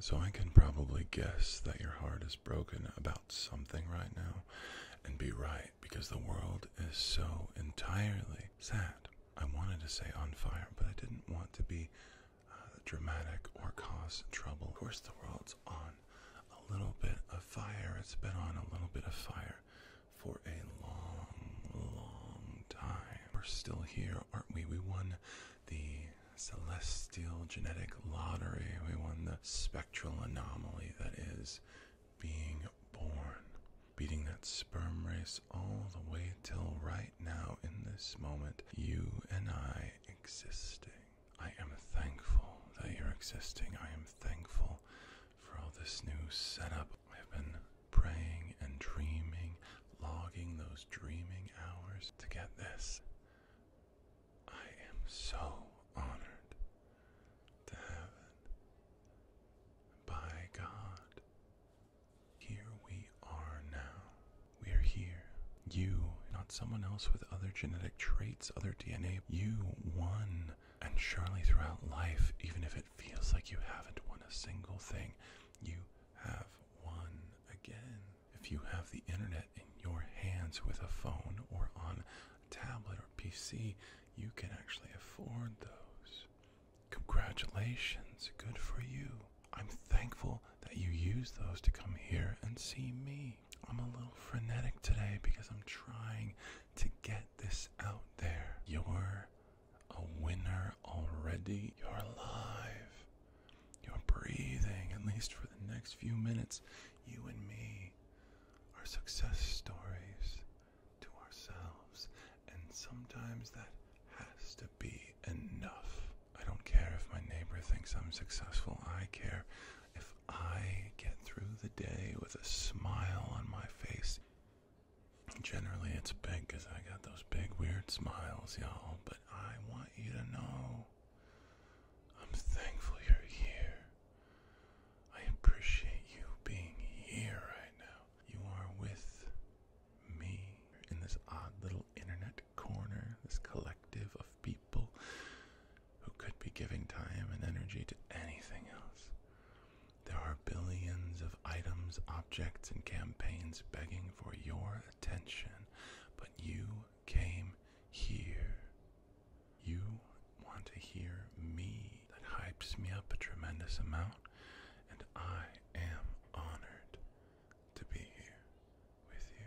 So I can probably guess that your heart is broken about something right now and be right because the world is so entirely sad. I wanted to say on fire, but I didn't want to be uh, dramatic or cause trouble. Of course, the world's on a little bit of fire. It's been on a little bit of fire for a long, long time. We're still here aren't we? We won the celestial genetic lottery, we won the spectral anomaly that is being born. Beating that sperm race all the way till right now, in this moment, you and I existing. I am thankful that you're existing. I am thankful for all this new setup. I've been praying and dreaming, logging those dreaming hours to get this. I am so honored to have it. By God, here we are now. We are here. You, not someone else with other genetic traits, other DNA. You won. And surely throughout life, even if it feels like you haven't won a single thing, you have won again. If you have the internet in your hands with a phone or on a tablet or PC, you can actually afford those. Congratulations, good for you. I'm thankful that you use those to come here and see me. I'm a little frenetic today because I'm trying to get this out there. Your a winner already. You're alive. You're breathing, at least for the next few minutes. You and me are success stories to ourselves, and sometimes that has to be enough. I don't care if my neighbor thinks I'm successful, I care if I get through the day with a smile on my face. Generally, it's big because I got those big, weird smiles, y'all. But I want you to know I'm thankful you're here. I appreciate you being here right now. You are with me in this odd little internet corner, this collective of people who could be giving time and energy to anything else. There are billions of items, objects, and campaigns begging for your attention, but you came here. You want to hear me. That hypes me up a tremendous amount, and I am honored to be here with you.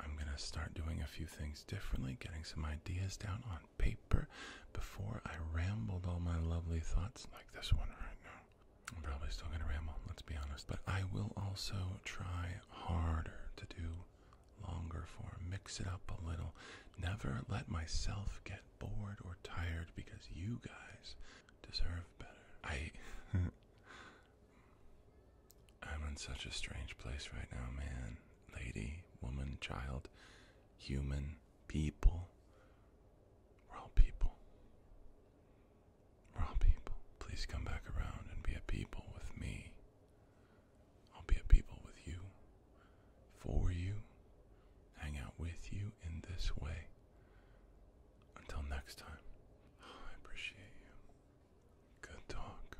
I'm going to start doing a few things differently, getting some ideas down on paper before I rambled all my lovely thoughts like this one right now. I'm probably still going to ramble, let's be honest, but I will also try harder to do longer form, mix it up a little. Never let myself get bored or tired because you guys deserve better. I. I'm in such a strange place right now, man. Lady, woman, child, human people. We're all people. We're all people. Please come back around and be a people with me. I'll be a people with you, for you, hang out with you in this way. Until next time, I appreciate you. Good talk.